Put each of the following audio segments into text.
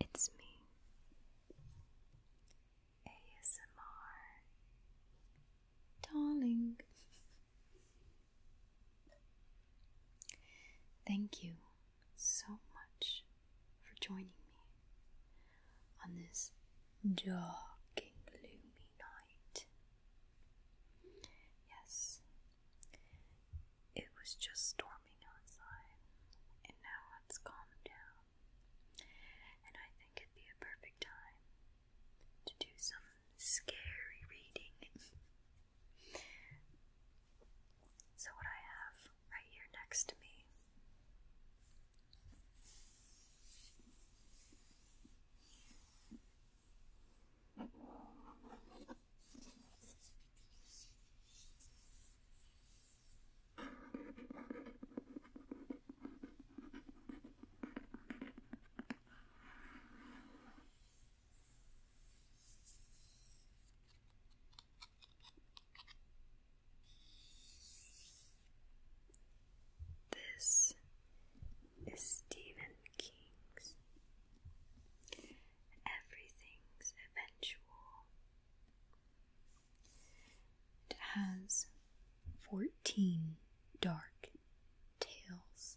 it's me, ASMR, darling. Thank you so much for joining me on this dark and gloomy night. Yes, it was just storming outside, and now it's calmed down. And I think it'd be a perfect time to do some scary reading. So, what I have right here next to me this is Stephen King's Everything's Eventual. It has 14 dark tales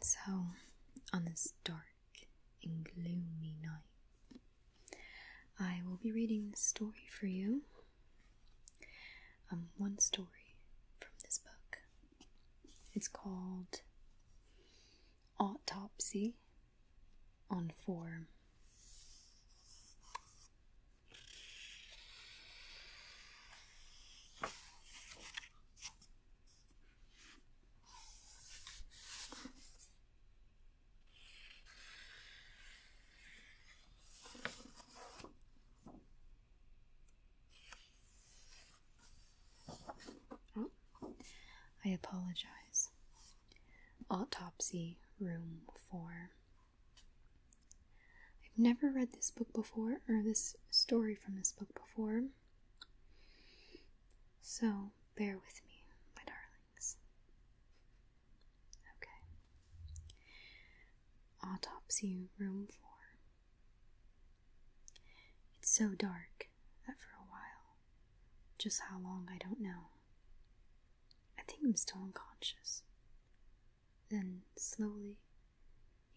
so, on this dark dark and gloomy night. I will be reading this story for you. Um, one story from this book. It's called Autopsy on Form. Oh, I apologize. Autopsy Room 4. I've never read this book before, or this story from this book before. So bear with me, my darlings. Okay. Autopsy room four. It's so dark that for a while, just how long I don't know, I think I'm still unconscious. Then slowly,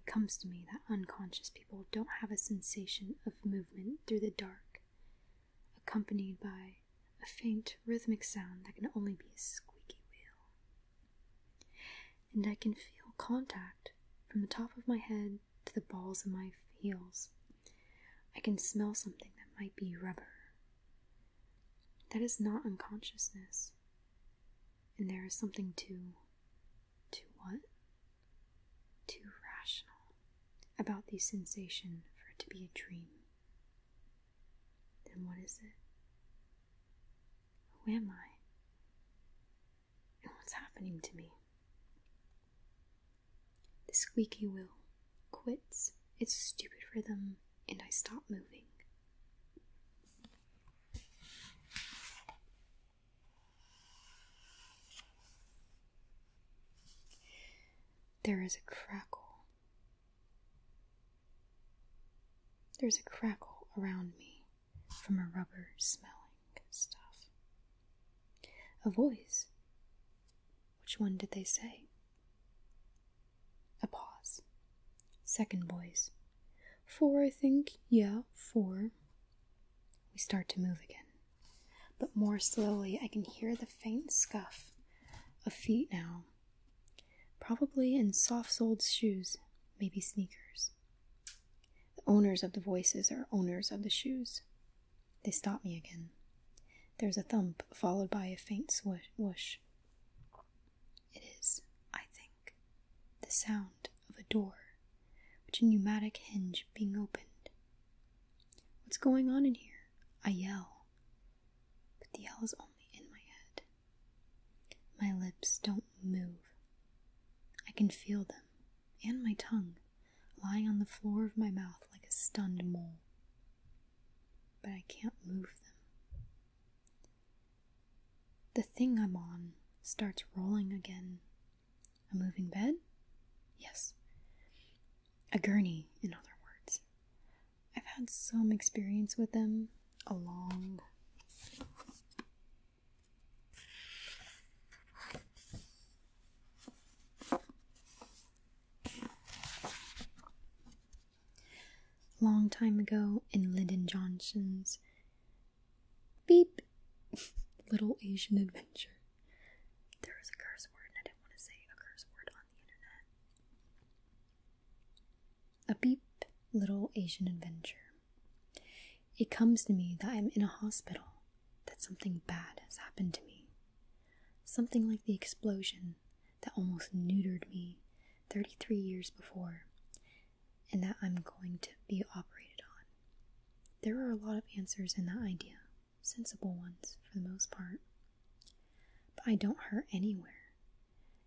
it comes to me that unconscious people don't have a sensation of movement through the dark, accompanied by a faint rhythmic sound that can only be a squeaky wheel. And I can feel contact from the top of my head to the balls of my heels. I can smell something that might be rubber. That is not unconsciousness. And there is something too too what? Too rational about the sensation for it to be a dream. Then what is it? Who am I? And what's happening to me? The squeaky wheel quits its stupid rhythm, and I stop moving. There is a crackle. There's a crackle around me from a rubber smelling stuff. A voice. Which one did they say? A pause. Second voice. Four, I think. Yeah, four. We start to move again, but more slowly. I can hear the faint scuff of feet now, probably in soft soled shoes, maybe sneakers. The owners of the voices are owners of the shoes. They stop me again. There's a thump followed by a faint swoosh. It is, I think, the sound of a door, which a pneumatic hinge being opened. What's going on in here? I yell, but the yell is only in my head. My lips don't move. I can feel them, and my tongue, lying on the floor of my mouth like a stunned mole. But I can't move them. The thing I'm on starts rolling again, a moving bed? Yes. A gurney, in other words. I've had some experience with them. A long. Long time ago in Lyndon Johnson's Beep. Little Asian adventure. There a curse word, and I didn't want to say a curse word on the internet. A beep, little Asian adventure. It comes to me that I'm in a hospital, that something bad has happened to me. Something like the explosion that almost neutered me 33 years before, and that I'm going to be operated on. There are a lot of answers in that idea, sensible ones for the most part. But I don't hurt anywhere.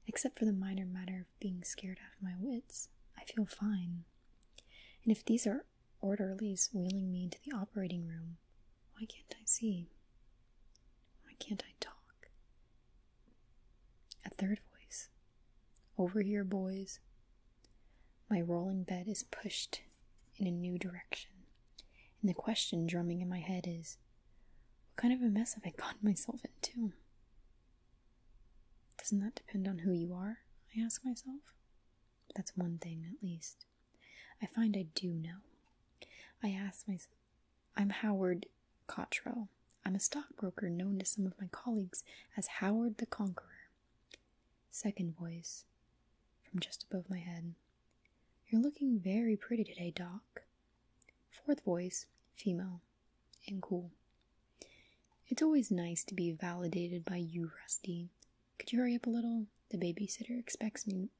Except for the minor matter of being scared out of my wits, I feel fine. And if these are orderlies wheeling me into the operating room, why can't I see? Why can't I talk? A third voice over here, boys. My rolling bed is pushed in a new direction, and the question drumming in my head is what kind of a mess have I gotten myself into? Doesn't that depend on who you are? I ask myself. That's one thing, at least. I find I do know. I ask myself, I'm Howard Cottrell. I'm a stockbroker known to some of my colleagues as Howard the Conqueror. Second voice, from just above my head. You're looking very pretty today, Doc. Fourth voice, female, and cool. It's always nice to be validated by you, Rusty. Could you hurry up a little? The babysitter expects me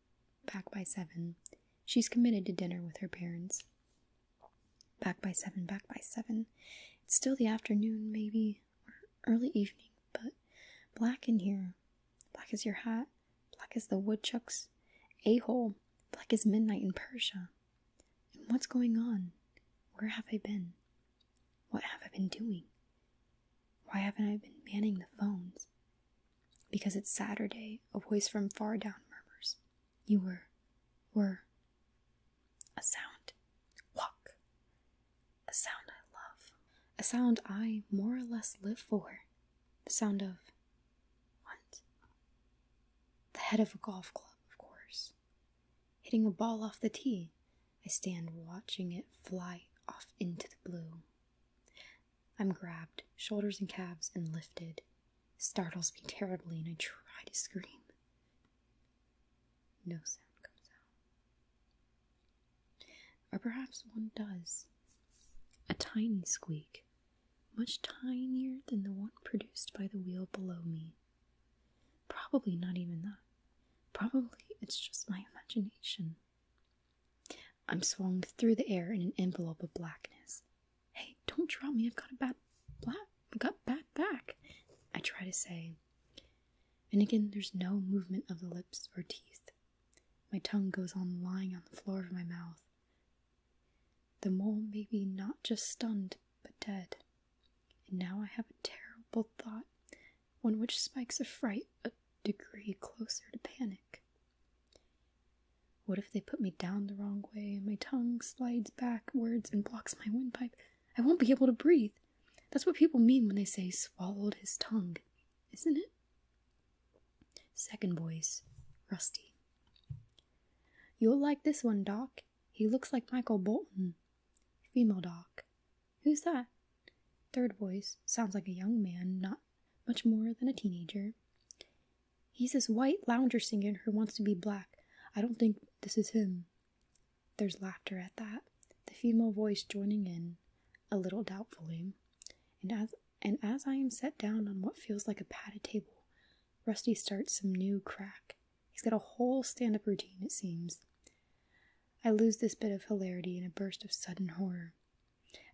back by seven. She's committed to dinner with her parents. Back by seven, back by seven. It's still the afternoon, maybe, or early evening, but black in here. Black as your hat, black as the woodchuck's a hole, black as midnight in Persia. And what's going on? Where have I been? What have I been doing? Why haven't I been manning the phones? Because it's Saturday, a voice from far down murmurs. You were, were a sound. Walk. A sound I love. A sound I more or less live for. The sound of what? The head of a golf club, of course. Hitting a ball off the tee, I stand watching it fly off into the blue. I'm grabbed, shoulders and calves, and lifted startles me terribly, and I try to scream. No sound comes out. Or perhaps one does. A tiny squeak, much tinier than the one produced by the wheel below me. Probably not even that. Probably it's just my imagination. I'm swung through the air in an envelope of blackness, Hey, don't drop me. I've got a bad black. I've got bad back. I try to say. And again, there's no movement of the lips or teeth. My tongue goes on lying on the floor of my mouth. The mole may be not just stunned, but dead. And now I have a terrible thought, one which spikes a fright a degree closer to panic. What if they put me down the wrong way and my tongue slides backwards and blocks my windpipe? I won't be able to breathe. That's what people mean when they say swallowed his tongue, isn't it? Second voice, Rusty. You'll like this one, Doc. He looks like Michael Bolton. Female Doc. Who's that? Third voice, sounds like a young man, not much more than a teenager. He's this white lounger singing who wants to be black. I don't think this is him. There's laughter at that, the female voice joining in, a little doubtfully. And as and as I am set down on what feels like a padded table, Rusty starts some new crack. He's got a whole stand up routine, it seems. I lose this bit of hilarity in a burst of sudden horror.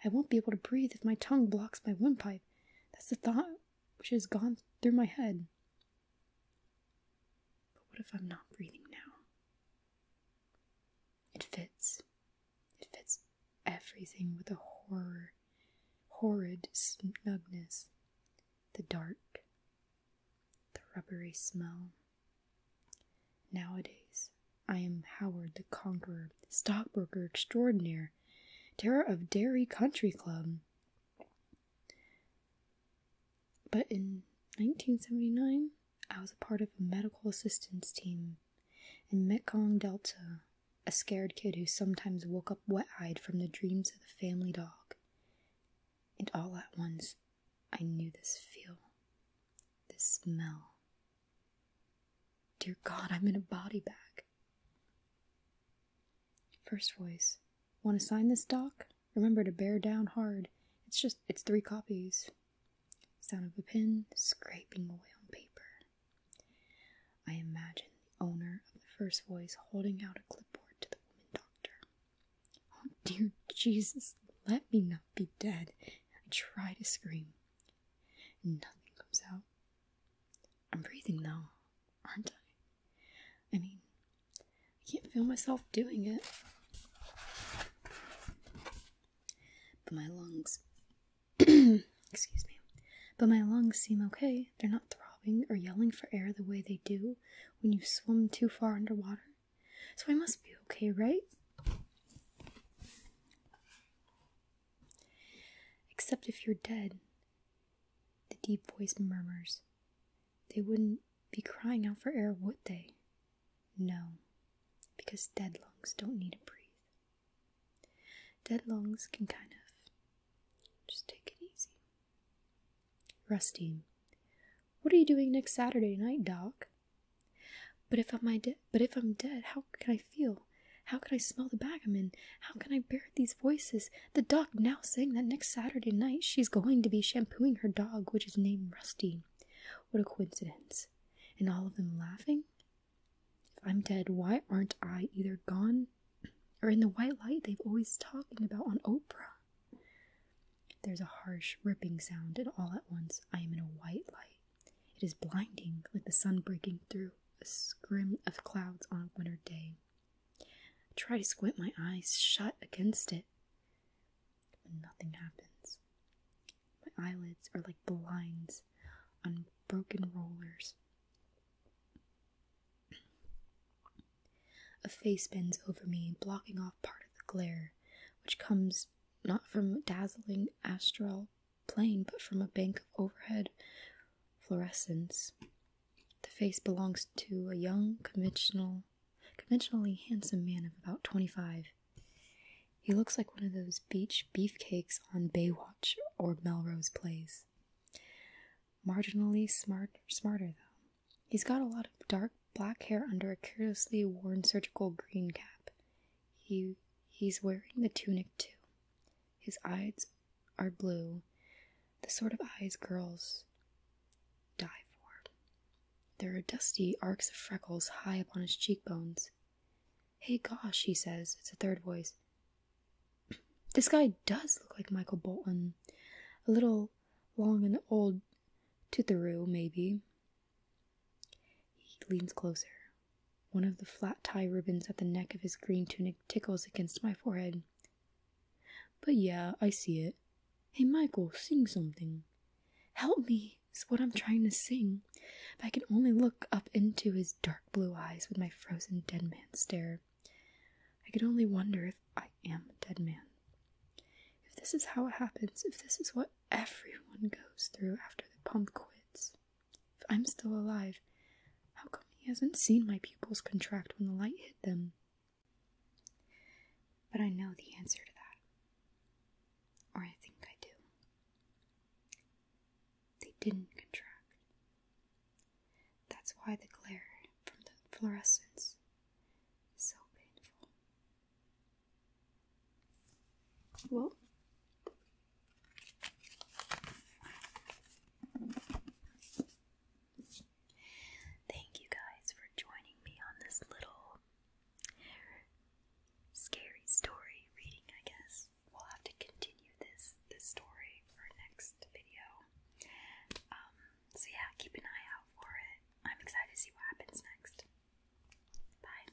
I won't be able to breathe if my tongue blocks my windpipe. That's the thought which has gone through my head. But what if I'm not breathing now? It fits. It fits everything with a horror, horrid snugness. The dark, the rubbery smell. Nowadays, I am Howard the Conqueror, stockbroker extraordinaire, terror of Dairy Country Club, but in 1979, I was a part of a medical assistance team in Mekong Delta, a scared kid who sometimes woke up wet eyed from the dreams of the family dog. And all at once, I knew this feel, this smell. Dear God, I'm in a body bag. First voice. Want to sign this doc? Remember to bear down hard. It's just, it's three copies. Sound of a pen scraping away on paper. I imagine the owner of the first voice holding out a clipboard to the woman doctor. Oh dear Jesus, let me not be dead. I try to scream. Nothing comes out. I'm breathing though, aren't I? I mean, I can't feel myself doing it. But my lungs. excuse me. But my lungs seem okay. They're not throbbing or yelling for air the way they do when you swim too far underwater. So I must be okay, right? Except if you're dead, the deep voice murmurs. They wouldn't be crying out for air, would they? No, because dead lungs don't need to breathe. Dead lungs can kind of just take it easy. Rusty, what are you doing next Saturday night, Doc? But if I'm dead, but if I'm dead, how can I feel? How can I smell the bag How can I bear these voices? The doc now saying that next Saturday night she's going to be shampooing her dog, which is named Rusty. What a coincidence. And all of them laughing? If I'm dead, why aren't I either gone or in the white light they've always talking about on Oprah? There's a harsh, ripping sound, and all at once I am in a white light. It is blinding, like the sun breaking through. A scrim of clouds on a winter day. I try to squint my eyes shut against it, but nothing happens. My eyelids are like blinds on broken rollers. A face bends over me, blocking off part of the glare, which comes not from dazzling astral plain but from a bank of overhead fluorescence. The face belongs to a young, conventional, conventionally handsome man of about 25. He looks like one of those beach beefcakes on Baywatch or Melrose Place. Marginally smart, smarter, though. He's got a lot of dark black hair under a carelessly worn surgical green cap. He he's wearing the tunic too. His eyes are blue, the sort of eyes girls die for. There are dusty arcs of freckles high upon his cheekbones. Hey gosh, he says, it's a third voice. This guy does look like Michael Bolton. A little long and old, tootheroo, maybe. He leans closer. One of the flat tie ribbons at the neck of his green tunic tickles against my forehead. But yeah, I see it. Hey, Michael, sing something. Help me is what I'm trying to sing, but I can only look up into his dark blue eyes with my frozen dead man stare. I can only wonder if I am a dead man. If this is how it happens, if this is what everyone goes through after the pump quits. If I'm still alive, how come he hasn't seen my pupils contract when the light hit them? But I know the answer to that. Or I think I do. They didn't contract. That's why the glare from the fluorescence is so painful. Well, Thank you guys for joining me on this little scary story reading, I guess. We'll have to continue this this story for next video. Um, so yeah, keep an eye out for it. I'm excited to see what happens next. Bye.